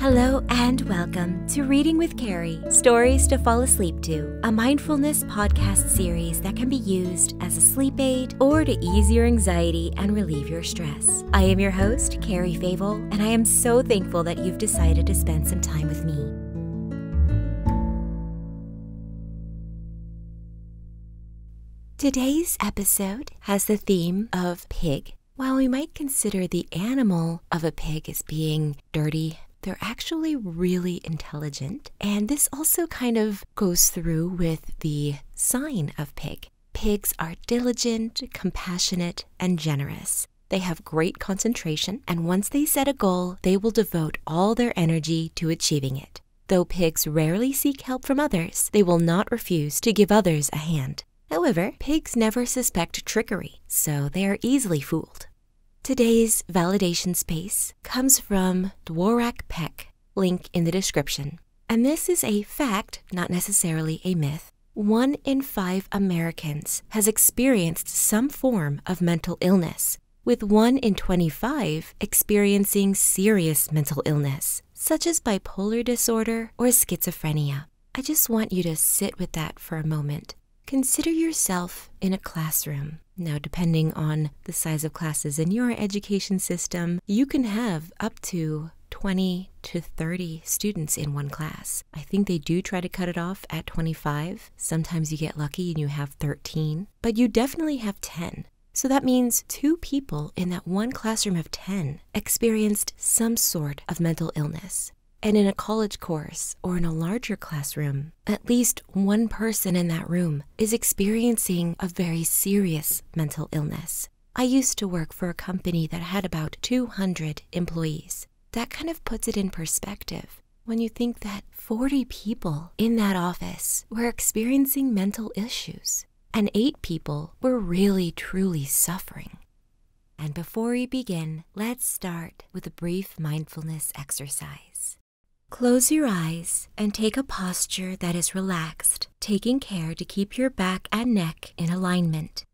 Hello and welcome to Reading with Carrie Stories to Fall Asleep to, a mindfulness podcast series that can be used as a sleep aid or to ease your anxiety and relieve your stress. I am your host, Carrie Favel, and I am so thankful that you've decided to spend some time with me. Today's episode has the theme of pig. While we might consider the animal of a pig as being dirty, they're actually really intelligent. And this also kind of goes through with the sign of pig. Pigs are diligent, compassionate, and generous. They have great concentration, and once they set a goal, they will devote all their energy to achieving it. Though pigs rarely seek help from others, they will not refuse to give others a hand. However, pigs never suspect trickery, so they are easily fooled. Today's validation space comes from Dworak Peck, link in the description. And this is a fact, not necessarily a myth. One in five Americans has experienced some form of mental illness, with 1 in 25 experiencing serious mental illness, such as bipolar disorder or schizophrenia. I just want you to sit with that for a moment. Consider yourself in a classroom. Now, depending on the size of classes in your education system, you can have up to 20 to 30 students in one class. I think they do try to cut it off at 25. Sometimes you get lucky and you have 13 but you definitely have 10. So that means two people in that one classroom of 10 experienced some sort of mental illness. And in a college course or in a larger classroom, at least one person in that room is experiencing a very serious mental illness. I used to work for a company that had about 200 employees. That kind of puts it in perspective when you think that 40 people in that office were experiencing mental issues, and eight people were really truly suffering. And before we begin, let's start with a brief mindfulness exercise. Close your eyes and take a posture that is relaxed, taking care to keep your back and neck in alignment.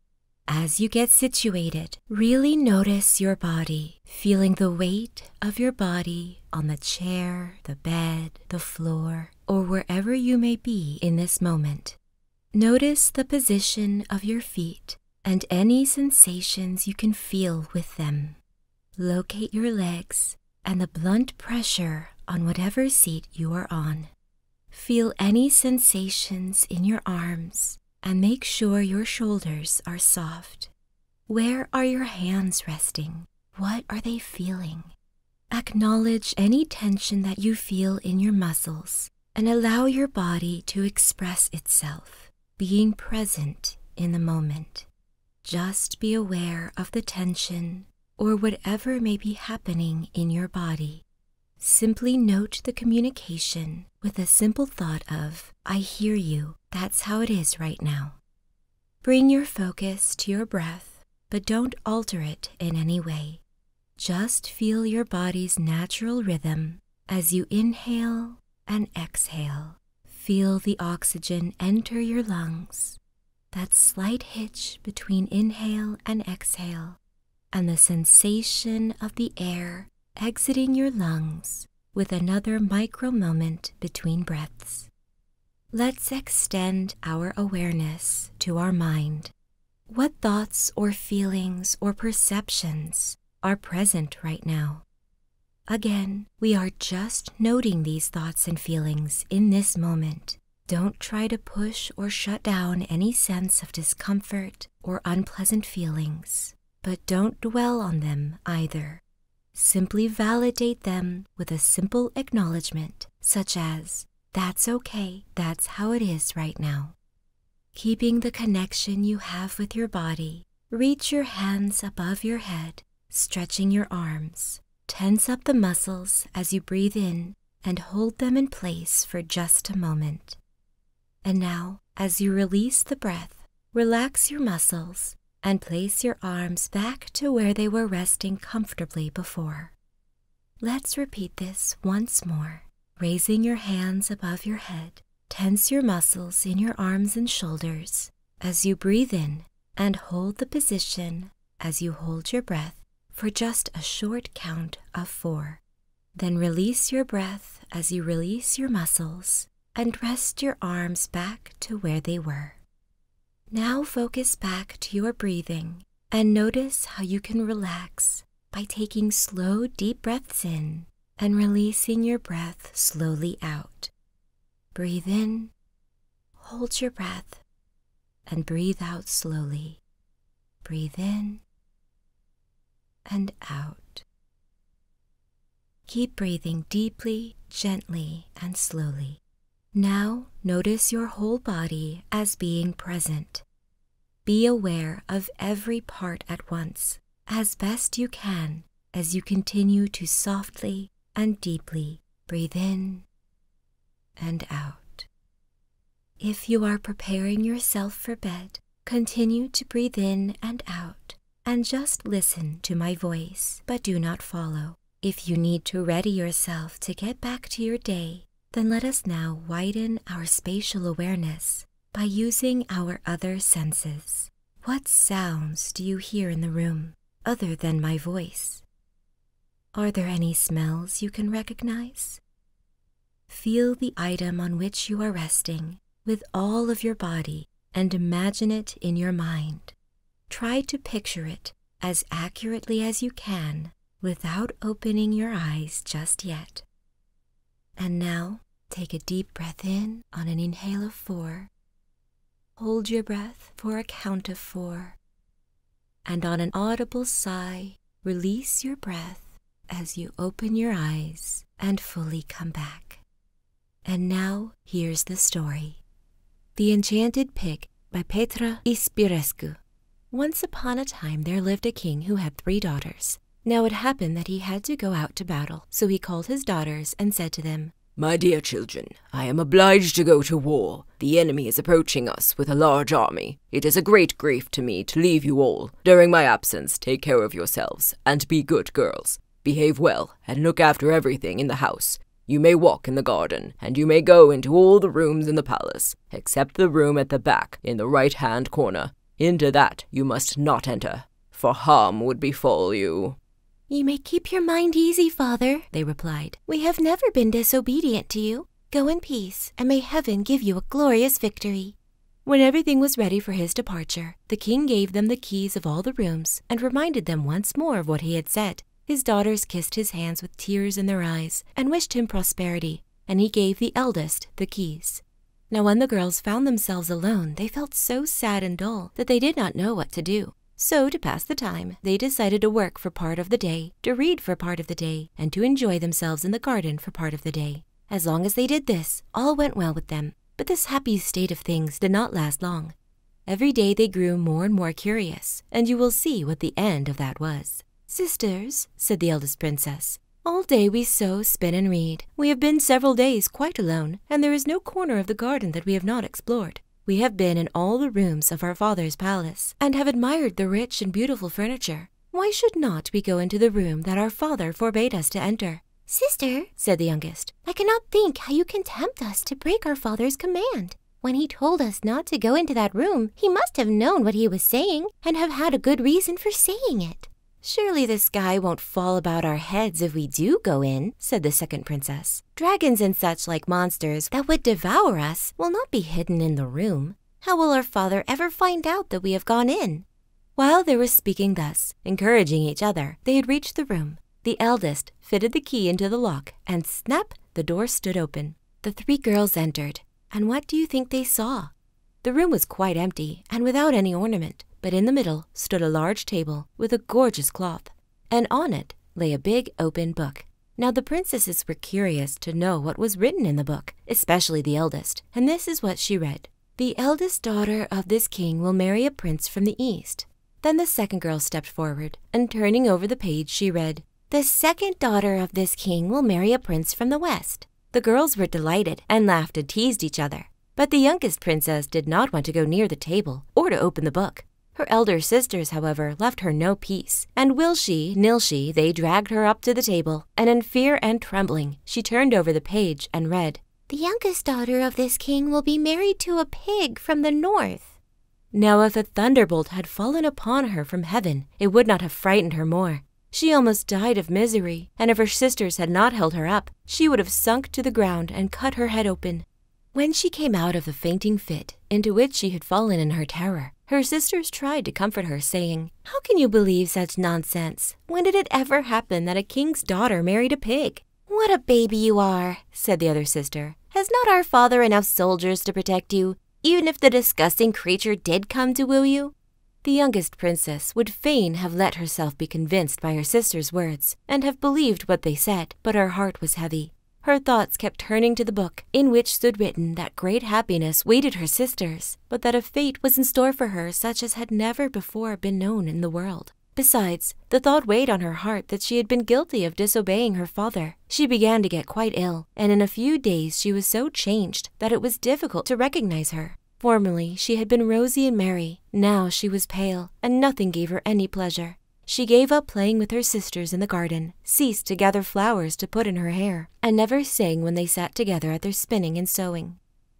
As you get situated, really notice your body, feeling the weight of your body on the chair, the bed, the floor, or wherever you may be in this moment. Notice the position of your feet and any sensations you can feel with them. Locate your legs and the blunt pressure on whatever seat you are on. Feel any sensations in your arms and make sure your shoulders are soft. Where are your hands resting? What are they feeling? Acknowledge any tension that you feel in your muscles and allow your body to express itself, being present in the moment. Just be aware of the tension or whatever may be happening in your body. Simply note the communication with a simple thought of, I hear you, that's how it is right now. Bring your focus to your breath, but don't alter it in any way. Just feel your body's natural rhythm as you inhale and exhale. Feel the oxygen enter your lungs, that slight hitch between inhale and exhale, and the sensation of the air exiting your lungs with another micro moment between breaths. Let's extend our awareness to our mind. What thoughts or feelings or perceptions are present right now? Again, we are just noting these thoughts and feelings in this moment. Don't try to push or shut down any sense of discomfort or unpleasant feelings, but don't dwell on them either. Simply validate them with a simple acknowledgement, such as, That's okay, that's how it is right now. Keeping the connection you have with your body, reach your hands above your head, stretching your arms. Tense up the muscles as you breathe in and hold them in place for just a moment. And now, as you release the breath, relax your muscles and place your arms back to where they were resting comfortably before. Let's repeat this once more. Raising your hands above your head, tense your muscles in your arms and shoulders as you breathe in and hold the position as you hold your breath for just a short count of four. Then release your breath as you release your muscles and rest your arms back to where they were. Now focus back to your breathing and notice how you can relax by taking slow, deep breaths in and releasing your breath slowly out. Breathe in, hold your breath, and breathe out slowly. Breathe in and out. Keep breathing deeply, gently, and slowly now notice your whole body as being present. Be aware of every part at once, as best you can, as you continue to softly and deeply breathe in and out. If you are preparing yourself for bed, continue to breathe in and out and just listen to my voice, but do not follow. If you need to ready yourself to get back to your day, then let us now widen our spatial awareness by using our other senses. What sounds do you hear in the room other than my voice? Are there any smells you can recognize? Feel the item on which you are resting with all of your body and imagine it in your mind. Try to picture it as accurately as you can without opening your eyes just yet. And now take a deep breath in on an inhale of four. Hold your breath for a count of four. And on an audible sigh, release your breath as you open your eyes and fully come back. And now here's the story. The enchanted pig by Petre Ispirescu. Once upon a time there lived a king who had three daughters. Now it happened that he had to go out to battle, so he called his daughters and said to them, My dear children, I am obliged to go to war. The enemy is approaching us with a large army. It is a great grief to me to leave you all. During my absence, take care of yourselves and be good girls. Behave well and look after everything in the house. You may walk in the garden, and you may go into all the rooms in the palace, except the room at the back, in the right hand corner. Into that you must not enter, for harm would befall you. You may keep your mind easy, father, they replied. We have never been disobedient to you. Go in peace, and may heaven give you a glorious victory. When everything was ready for his departure, the king gave them the keys of all the rooms and reminded them once more of what he had said his daughters kissed his hands with tears in their eyes and wished him prosperity, and he gave the eldest the keys. Now, when the girls found themselves alone, they felt so sad and dull that they did not know what to do. So, to pass the time, they decided to work for part of the day, to read for part of the day, and to enjoy themselves in the garden for part of the day. As long as they did this, all went well with them. But this happy state of things did not last long, Every day they grew more and more curious, and you will see what the end of that was. Sisters, said the eldest princess, all day we sew, spin, and read. We have been several days quite alone, and there is no corner of the garden that we have not explored. We have been in all the rooms of our father's palace, and have admired the rich and beautiful furniture. Why should not we go into the room that our father forbade us to enter? Sister, said the youngest, I cannot think how you can tempt us to break our father's command. When he told us not to go into that room, he must have known what he was saying and have had a good reason for saying it. Surely the sky won't fall about our heads if we do go in, said the second princess. Dragons and such like monsters that would devour us will not be hidden in the room. How will our father ever find out that we have gone in? While they were speaking thus, encouraging each other, they had reached the room. The eldest fitted the key into the lock, and snap, the door stood open. The three girls entered, and what do you think they saw? The room was quite empty and without any ornament, but in the middle stood a large table with a gorgeous cloth, and on it lay a big open book. Now the princesses were curious to know what was written in the book, especially the eldest, and this is what she read. The eldest daughter of this king will marry a prince from the east. Then the second girl stepped forward, and turning over the page, she read, the second daughter of this king will marry a prince from the west. The girls were delighted and laughed and teased each other. But the youngest princess did not want to go near the table or to open the book. Her elder sisters, however, left her no peace, and will she, nil she, they dragged her up to the table, and in fear and trembling, she turned over the page and read, The youngest daughter of this king will be married to a pig from the north. Now, if a thunderbolt had fallen upon her from heaven, it would not have frightened her more. She almost died of misery, and if her sisters had not held her up, she would have sunk to the ground and cut her head open. When she came out of the fainting fit into which she had fallen in her terror, her sisters tried to comfort her, saying, How can you believe such nonsense? When did it ever happen that a king's daughter married a pig? What a baby you are, said the other sister. Has not our father enough soldiers to protect you? Even if the disgusting creature did come to woo you? The youngest princess would fain have let herself be convinced by her sister's words and have believed what they said, but her heart was heavy. Her thoughts kept turning to the book, in which stood written that great happiness waited her sisters, but that a fate was in store for her such as had never before been known in the world. Besides, the thought weighed on her heart that she had been guilty of disobeying her father, she began to get quite ill, and in a few days she was so changed that it was difficult to recognize her. Formerly she had been rosy and merry, now she was pale, and nothing gave her any pleasure. She gave up playing with her sisters in the garden, ceased to gather flowers to put in her hair, and never sang when they sat together at their spinning and sewing.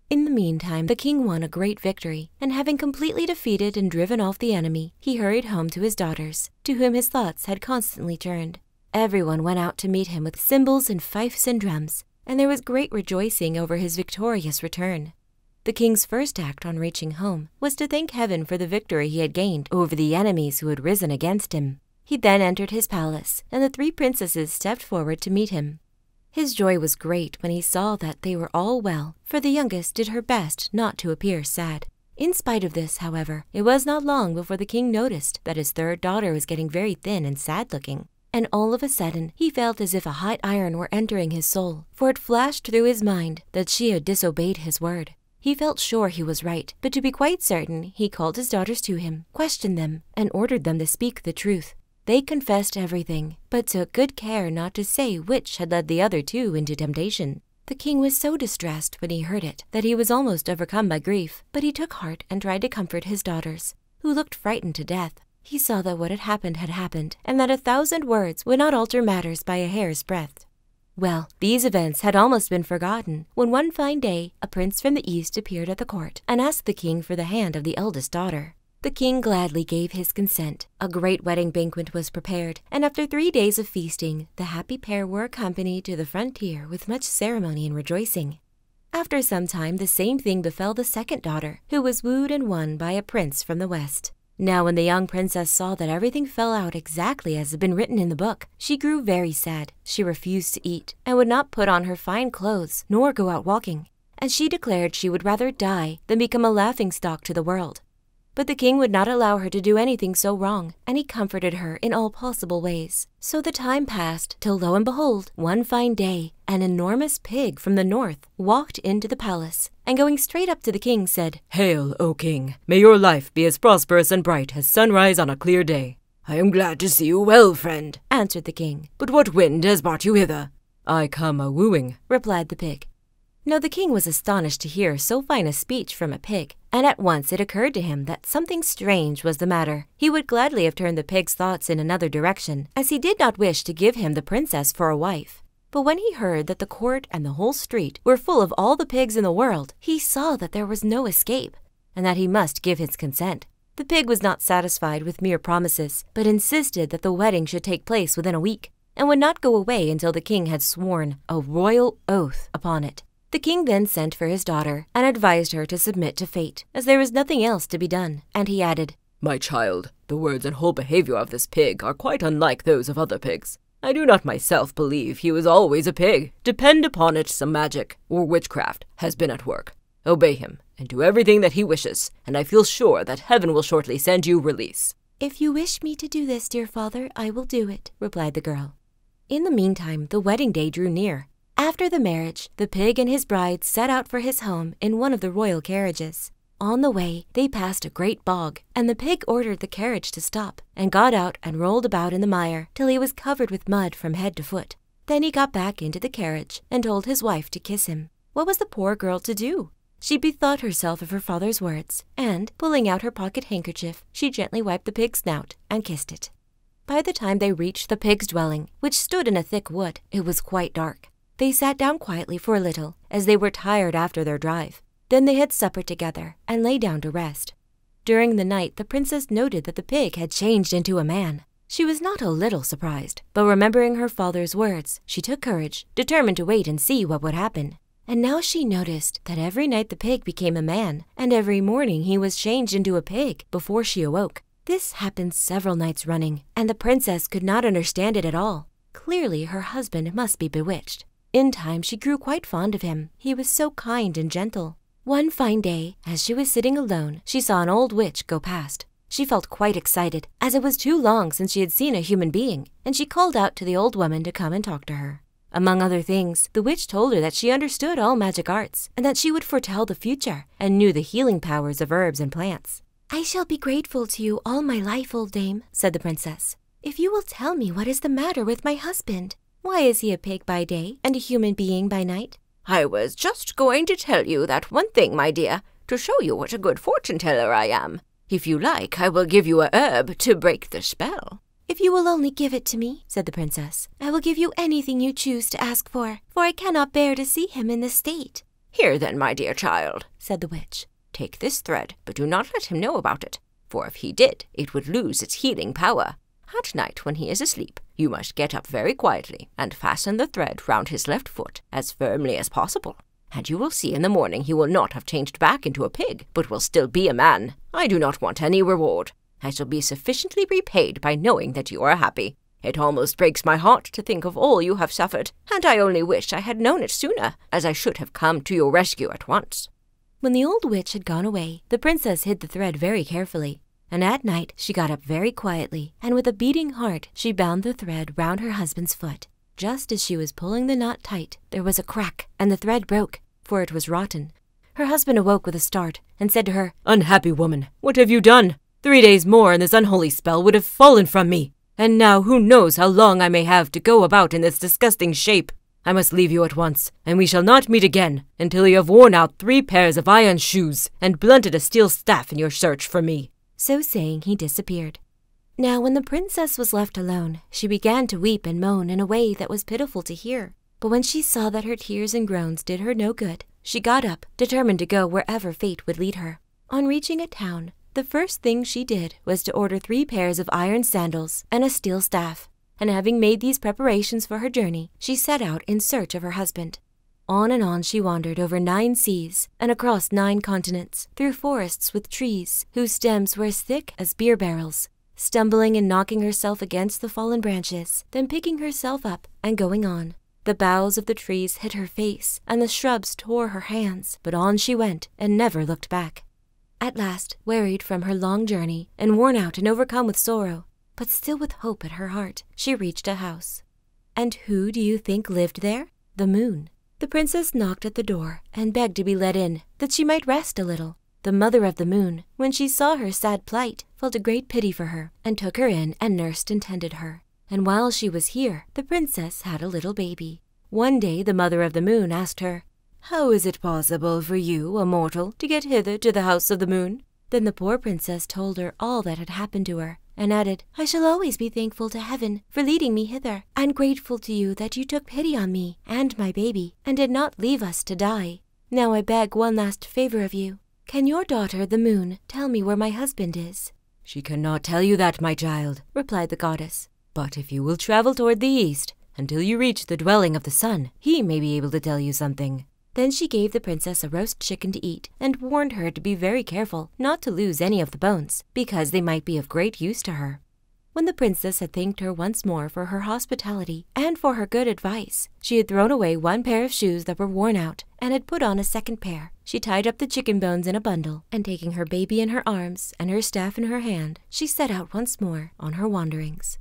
In the meantime, the king won a great victory, and having completely defeated and driven off the enemy, he hurried home to his daughters to whom his thoughts had constantly turned. every one went out to meet him with cymbals and fifes and drums, and there was great rejoicing over his victorious return. The king's first act on reaching home was to thank heaven for the victory he had gained over the enemies who had risen against him. He then entered his palace, and the three princesses stepped forward to meet him. His joy was great when he saw that they were all well, for the youngest did her best not to appear sad. In spite of this, however, it was not long before the king noticed that his third daughter was getting very thin and sad looking. And all of a sudden, he felt as if a hot iron were entering his soul, for it flashed through his mind that she had disobeyed his word. He felt sure he was right, but to be quite certain, he called his daughters to him, questioned them, and ordered them to speak the truth. They confessed everything, but took good care not to say which had led the other two into temptation. The king was so distressed when he heard it that he was almost overcome by grief, but he took heart and tried to comfort his daughters, who looked frightened to death. He saw that what had happened had happened, and that a thousand words would not alter matters by a hair's breadth. Well, these events had almost been forgotten when one fine day a prince from the east appeared at the court and asked the king for the hand of the eldest daughter. The king gladly gave his consent. A great wedding banquet was prepared, and after three days of feasting, the happy pair were accompanied to the frontier with much ceremony and rejoicing. After some time, the same thing befell the second daughter, who was wooed and won by a prince from the west. Now, when the young princess saw that everything fell out exactly as had been written in the book, she grew very sad. She refused to eat, and would not put on her fine clothes, nor go out walking. And she declared she would rather die than become a laughing stock to the world. But the king would not allow her to do anything so wrong, and he comforted her in all possible ways. So the time passed, till lo and behold, one fine day, an enormous pig from the north walked into the palace, and going straight up to the king said, Hail, O king! May your life be as prosperous and bright as sunrise on a clear day. I am glad to see you well, friend, answered the king. But what wind has brought you hither? I come a wooing, replied the pig. Now the king was astonished to hear so fine a speech from a pig, and at once it occurred to him that something strange was the matter. He would gladly have turned the pig's thoughts in another direction, as he did not wish to give him the princess for a wife. But when he heard that the court and the whole street were full of all the pigs in the world, he saw that there was no escape, and that he must give his consent. The pig was not satisfied with mere promises, but insisted that the wedding should take place within a week, and would not go away until the king had sworn a royal oath upon it. The king then sent for his daughter and advised her to submit to fate, as there was nothing else to be done, and he added, My child, the words and whole behavior of this pig are quite unlike those of other pigs. I do not myself believe he was always a pig. Depend upon it some magic, or witchcraft, has been at work. Obey him, and do everything that he wishes, and I feel sure that heaven will shortly send you release. If you wish me to do this, dear father, I will do it, replied the girl. In the meantime, the wedding day drew near. After the marriage, the pig and his bride set out for his home in one of the royal carriages. On the way, they passed a great bog, and the pig ordered the carriage to stop, and got out and rolled about in the mire till he was covered with mud from head to foot. Then he got back into the carriage and told his wife to kiss him. What was the poor girl to do? She bethought herself of her father's words, and, pulling out her pocket handkerchief, she gently wiped the pig's snout and kissed it. By the time they reached the pig's dwelling, which stood in a thick wood, it was quite dark. They sat down quietly for a little, as they were tired after their drive. Then they had supper together and lay down to rest. During the night, the princess noted that the pig had changed into a man. She was not a little surprised, but remembering her father's words, she took courage, determined to wait and see what would happen. And now she noticed that every night the pig became a man, and every morning he was changed into a pig before she awoke. This happened several nights running, and the princess could not understand it at all. Clearly, her husband must be bewitched. In time, she grew quite fond of him. He was so kind and gentle. One fine day, as she was sitting alone, she saw an old witch go past. She felt quite excited, as it was too long since she had seen a human being, and she called out to the old woman to come and talk to her. Among other things, the witch told her that she understood all magic arts and that she would foretell the future and knew the healing powers of herbs and plants. I shall be grateful to you all my life, old dame, said the princess, if you will tell me what is the matter with my husband. Why is he a pig by day and a human being by night? I was just going to tell you that one thing, my dear, to show you what a good fortune teller I am. If you like, I will give you a herb to break the spell. If you will only give it to me, said the princess, I will give you anything you choose to ask for, for I cannot bear to see him in this state. Here then, my dear child, said the witch, take this thread, but do not let him know about it, for if he did, it would lose its healing power. At night, when he is asleep, you must get up very quietly and fasten the thread round his left foot as firmly as possible. And you will see in the morning he will not have changed back into a pig, but will still be a man. I do not want any reward. I shall be sufficiently repaid by knowing that you are happy. It almost breaks my heart to think of all you have suffered, and I only wish I had known it sooner, as I should have come to your rescue at once. When the old witch had gone away, the princess hid the thread very carefully, and at night she got up very quietly, and with a beating heart she bound the thread round her husband's foot. Just as she was pulling the knot tight, there was a crack, and the thread broke, for it was rotten. Her husband awoke with a start and said to her, Unhappy woman, what have you done? Three days more and this unholy spell would have fallen from me. And now who knows how long I may have to go about in this disgusting shape. I must leave you at once, and we shall not meet again until you have worn out three pairs of iron shoes and blunted a steel staff in your search for me. So saying, he disappeared. Now, when the princess was left alone, she began to weep and moan in a way that was pitiful to hear. But when she saw that her tears and groans did her no good, she got up, determined to go wherever fate would lead her. On reaching a town, the first thing she did was to order three pairs of iron sandals and a steel staff, and having made these preparations for her journey, she set out in search of her husband. On and on she wandered over nine seas and across nine continents, through forests with trees whose stems were as thick as beer barrels, stumbling and knocking herself against the fallen branches, then picking herself up and going on. The boughs of the trees hid her face, and the shrubs tore her hands, but on she went and never looked back. At last, wearied from her long journey, and worn out and overcome with sorrow, but still with hope at her heart, she reached a house. And who do you think lived there? The moon. The princess knocked at the door and begged to be let in, that she might rest a little. The mother of the moon, when she saw her sad plight, felt a great pity for her, and took her in and nursed and tended her. And while she was here, the princess had a little baby. One day the mother of the moon asked her, How is it possible for you, a mortal, to get hither to the house of the moon? Then the poor princess told her all that had happened to her, and added, I shall always be thankful to heaven for leading me hither, and grateful to you that you took pity on me and my baby, and did not leave us to die. Now I beg one last favor of you. Can your daughter, the moon, tell me where my husband is? She cannot tell you that, my child, replied the goddess. But if you will travel toward the east until you reach the dwelling of the sun, he may be able to tell you something. Then she gave the princess a roast chicken to eat and warned her to be very careful not to lose any of the bones, because they might be of great use to her. When the princess had thanked her once more for her hospitality, and for her good advice. She had thrown away one pair of shoes that were worn out and had put on a second pair. She tied up the chicken bones in a bundle, and taking her baby in her arms and her staff in her hand, she set out once more on her wanderings.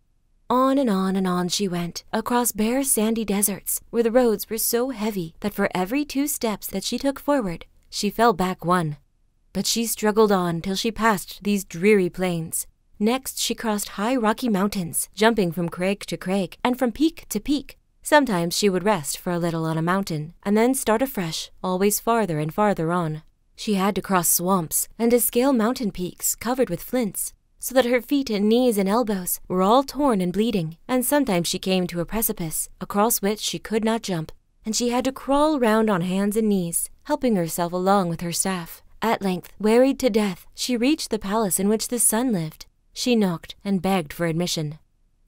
On and on and on she went, across bare sandy deserts, where the roads were so heavy that for every two steps that she took forward, she fell back one. But she struggled on till she passed these dreary plains, Next, she crossed high rocky mountains, jumping from crag to crag and from peak to peak. Sometimes she would rest for a little on a mountain and then start afresh, always farther and farther on. She had to cross swamps and to scale mountain peaks covered with flints, so that her feet and knees and elbows were all torn and bleeding, and sometimes she came to a precipice across which she could not jump, and she had to crawl round on hands and knees helping herself along with her staff. At length, wearied to death, she reached the palace in which the sun lived. She knocked and begged for admission.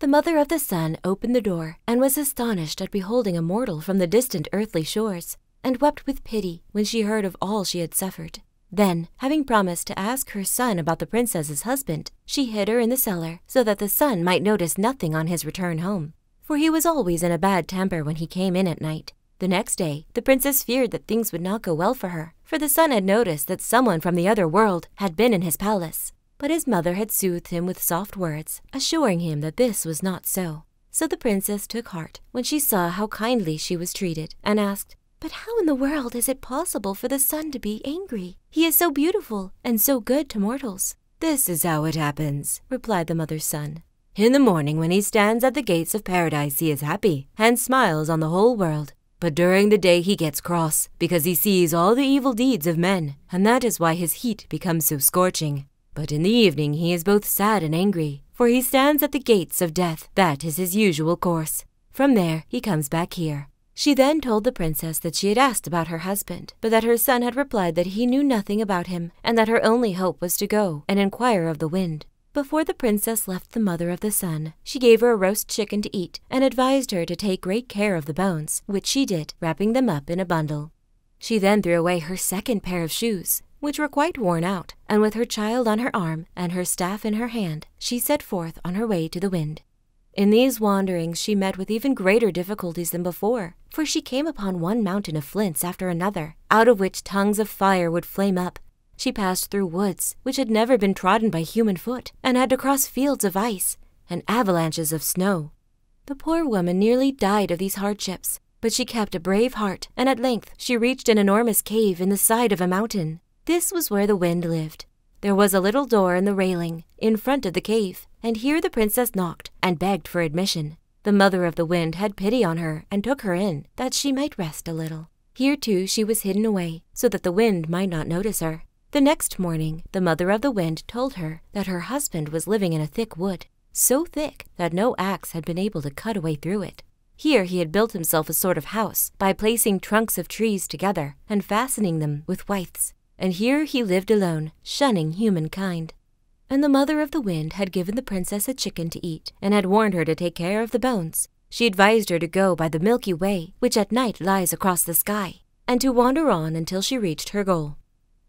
The mother of the sun opened the door and was astonished at beholding a mortal from the distant earthly shores, and wept with pity when she heard of all she had suffered. Then, having promised to ask her son about the princess's husband, she hid her in the cellar so that the sun might notice nothing on his return home, for he was always in a bad temper when he came in at night. The next day, the princess feared that things would not go well for her, for the sun had noticed that someone from the other world had been in his palace. But his mother had soothed him with soft words, assuring him that this was not so. So the princess took heart when she saw how kindly she was treated, and asked, But how in the world is it possible for the sun to be angry? He is so beautiful and so good to mortals. This is how it happens, replied the mother's son. In the morning, when he stands at the gates of paradise, he is happy and smiles on the whole world. But during the day he gets cross, because he sees all the evil deeds of men, and that is why his heat becomes so scorching. But in the evening he is both sad and angry, for he stands at the gates of death. That is his usual course. From there he comes back here. She then told the princess that she had asked about her husband, but that her son had replied that he knew nothing about him, and that her only hope was to go and inquire of the wind. Before the princess left the mother of the sun, she gave her a roast chicken to eat and advised her to take great care of the bones, which she did, wrapping them up in a bundle. She then threw away her second pair of shoes, which were quite worn out, and with her child on her arm and her staff in her hand, she set forth on her way to the wind. In these wanderings she met with even greater difficulties than before, for she came upon one mountain of flints after another, out of which tongues of fire would flame up, she passed through woods which had never been trodden by human foot, and had to cross fields of ice and avalanches of snow. The poor woman nearly died of these hardships, but she kept a brave heart, and at length she reached an enormous cave in the side of a mountain. This was where the wind lived. There was a little door in the railing, in front of the cave, and here the princess knocked and begged for admission. The mother of the wind had pity on her and took her in that she might rest a little. Here too she was hidden away, so that the wind might not notice her. The next morning the mother of the wind told her that her husband was living in a thick wood, so thick that no axe had been able to cut a way through it. Here he had built himself a sort of house by placing trunks of trees together and fastening them with withes, and here he lived alone, shunning humankind. And the mother of the wind had given the princess a chicken to eat, and had warned her to take care of the bones. She advised her to go by the Milky Way, which at night lies across the sky, and to wander on until she reached her goal.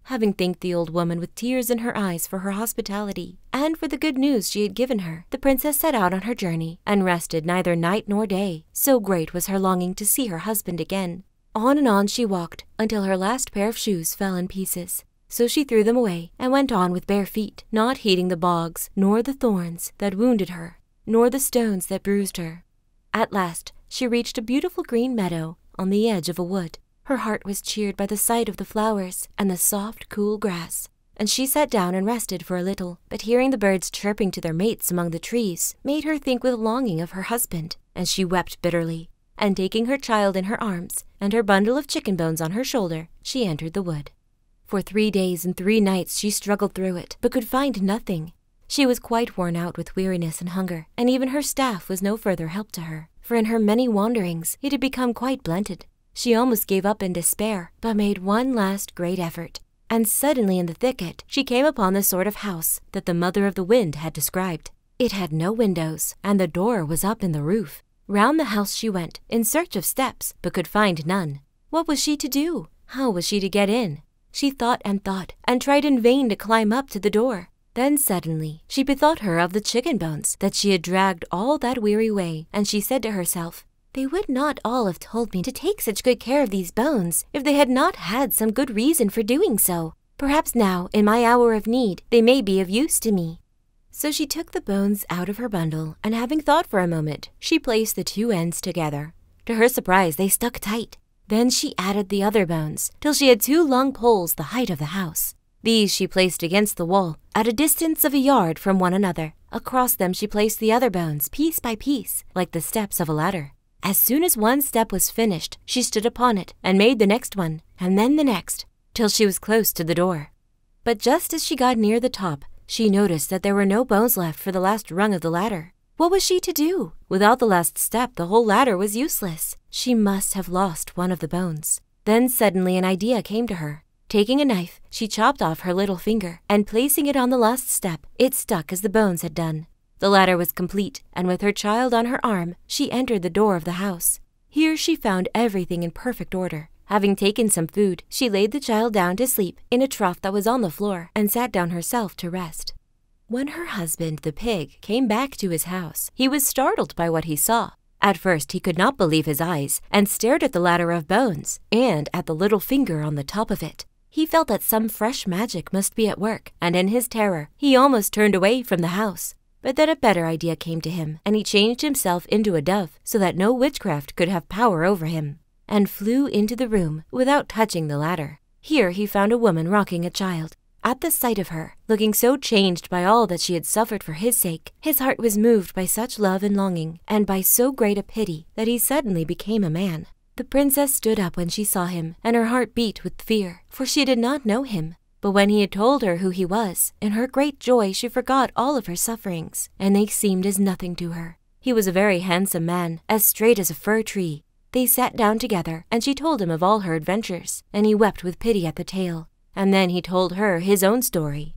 Having thanked the old woman with tears in her eyes for her hospitality and for the good news she had given her, the princess set out on her journey and rested neither night nor day, so great was her longing to see her husband again. On and on she walked until her last pair of shoes fell in pieces. So she threw them away and went on with bare feet, not heeding the bogs, nor the thorns that wounded her, nor the stones that bruised her. At last she reached a beautiful green meadow on the edge of a wood. Her heart was cheered by the sight of the flowers and the soft, cool grass, and she sat down and rested for a little. But hearing the birds chirping to their mates among the trees made her think with longing of her husband, and she wept bitterly. And taking her child in her arms and her bundle of chicken bones on her shoulder, she entered the wood. For three days and three nights she struggled through it, but could find nothing. She was quite worn out with weariness and hunger, and even her staff was no further help to her, for in her many wanderings it had become quite blunted. She almost gave up in despair, but made one last great effort. And suddenly in the thicket she came upon the sort of house that the mother of the wind had described. It had no windows, and the door was up in the roof. Round the house she went, in search of steps, but could find none. What was she to do? How was she to get in? She thought and thought, and tried in vain to climb up to the door. Then suddenly she bethought her of the chicken bones that she had dragged all that weary way, and she said to herself, They would not all have told me to take such good care of these bones if they had not had some good reason for doing so. Perhaps now, in my hour of need, they may be of use to me. So she took the bones out of her bundle, and having thought for a moment, she placed the two ends together. To her surprise, they stuck tight. Then she added the other bones, till she had two long poles the height of the house. These she placed against the wall, at a distance of a yard from one another. Across them she placed the other bones, piece by piece, like the steps of a ladder. As soon as one step was finished, she stood upon it, and made the next one, and then the next, till she was close to the door. But just as she got near the top, she noticed that there were no bones left for the last rung of the ladder. What was she to do? Without the last step, the whole ladder was useless. She must have lost one of the bones. Then suddenly an idea came to her. Taking a knife, she chopped off her little finger, and placing it on the last step, it stuck as the bones had done. The ladder was complete, and with her child on her arm, she entered the door of the house. Here she found everything in perfect order. Having taken some food, she laid the child down to sleep in a trough that was on the floor and sat down herself to rest. When her husband, the pig, came back to his house, he was startled by what he saw. At first, he could not believe his eyes and stared at the ladder of bones and at the little finger on the top of it. He felt that some fresh magic must be at work, and in his terror, he almost turned away from the house. But then a better idea came to him, and he changed himself into a dove so that no witchcraft could have power over him, and flew into the room without touching the ladder. Here he found a woman rocking a child. At the sight of her, looking so changed by all that she had suffered for his sake, his heart was moved by such love and longing, and by so great a pity, that he suddenly became a man. The princess stood up when she saw him, and her heart beat with fear, for she did not know him. But when he had told her who he was, in her great joy she forgot all of her sufferings and they seemed as nothing to her. He was a very handsome man, as straight as a fir tree. They sat down together, and she told him of all her adventures, and he wept with pity at the tale. And then he told her his own story.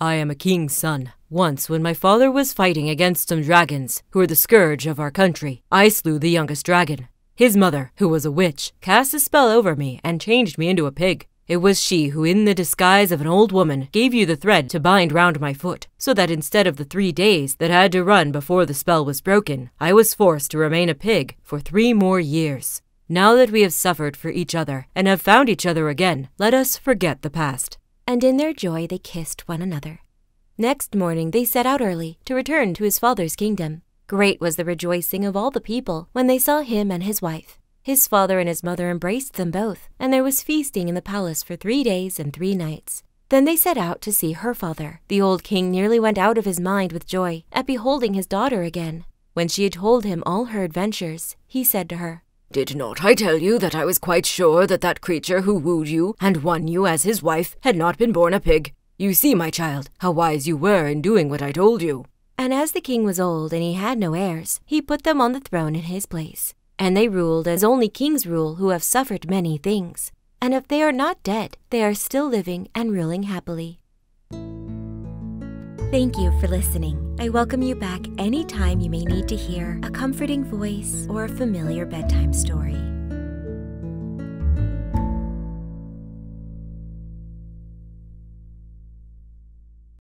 I am a king's son. Once, when my father was fighting against some dragons, who were the scourge of our country, I slew the youngest dragon. His mother, who was a witch, cast a spell over me and changed me into a pig. It was she who, in the disguise of an old woman, gave you the thread to bind round my foot, so that instead of the three days that had to run before the spell was broken, I was forced to remain a pig for three more years. Now that we have suffered for each other and have found each other again, let us forget the past. And in their joy they kissed one another. Next morning they set out early to return to his father's kingdom. Great was the rejoicing of all the people when they saw him and his wife. His father and his mother embraced them both, and there was feasting in the palace for three days and three nights. Then they set out to see her father. The old king nearly went out of his mind with joy at beholding his daughter again. When she had told him all her adventures, he said to her, Did not I tell you that I was quite sure that that creature who wooed you and won you as his wife had not been born a pig? You see, my child, how wise you were in doing what I told you. And as the king was old and he had no heirs, he put them on the throne in his place. And they ruled as only kings rule who have suffered many things. And if they are not dead, they are still living and ruling happily. Thank you for listening. I welcome you back anytime you may need to hear a comforting voice or a familiar bedtime story.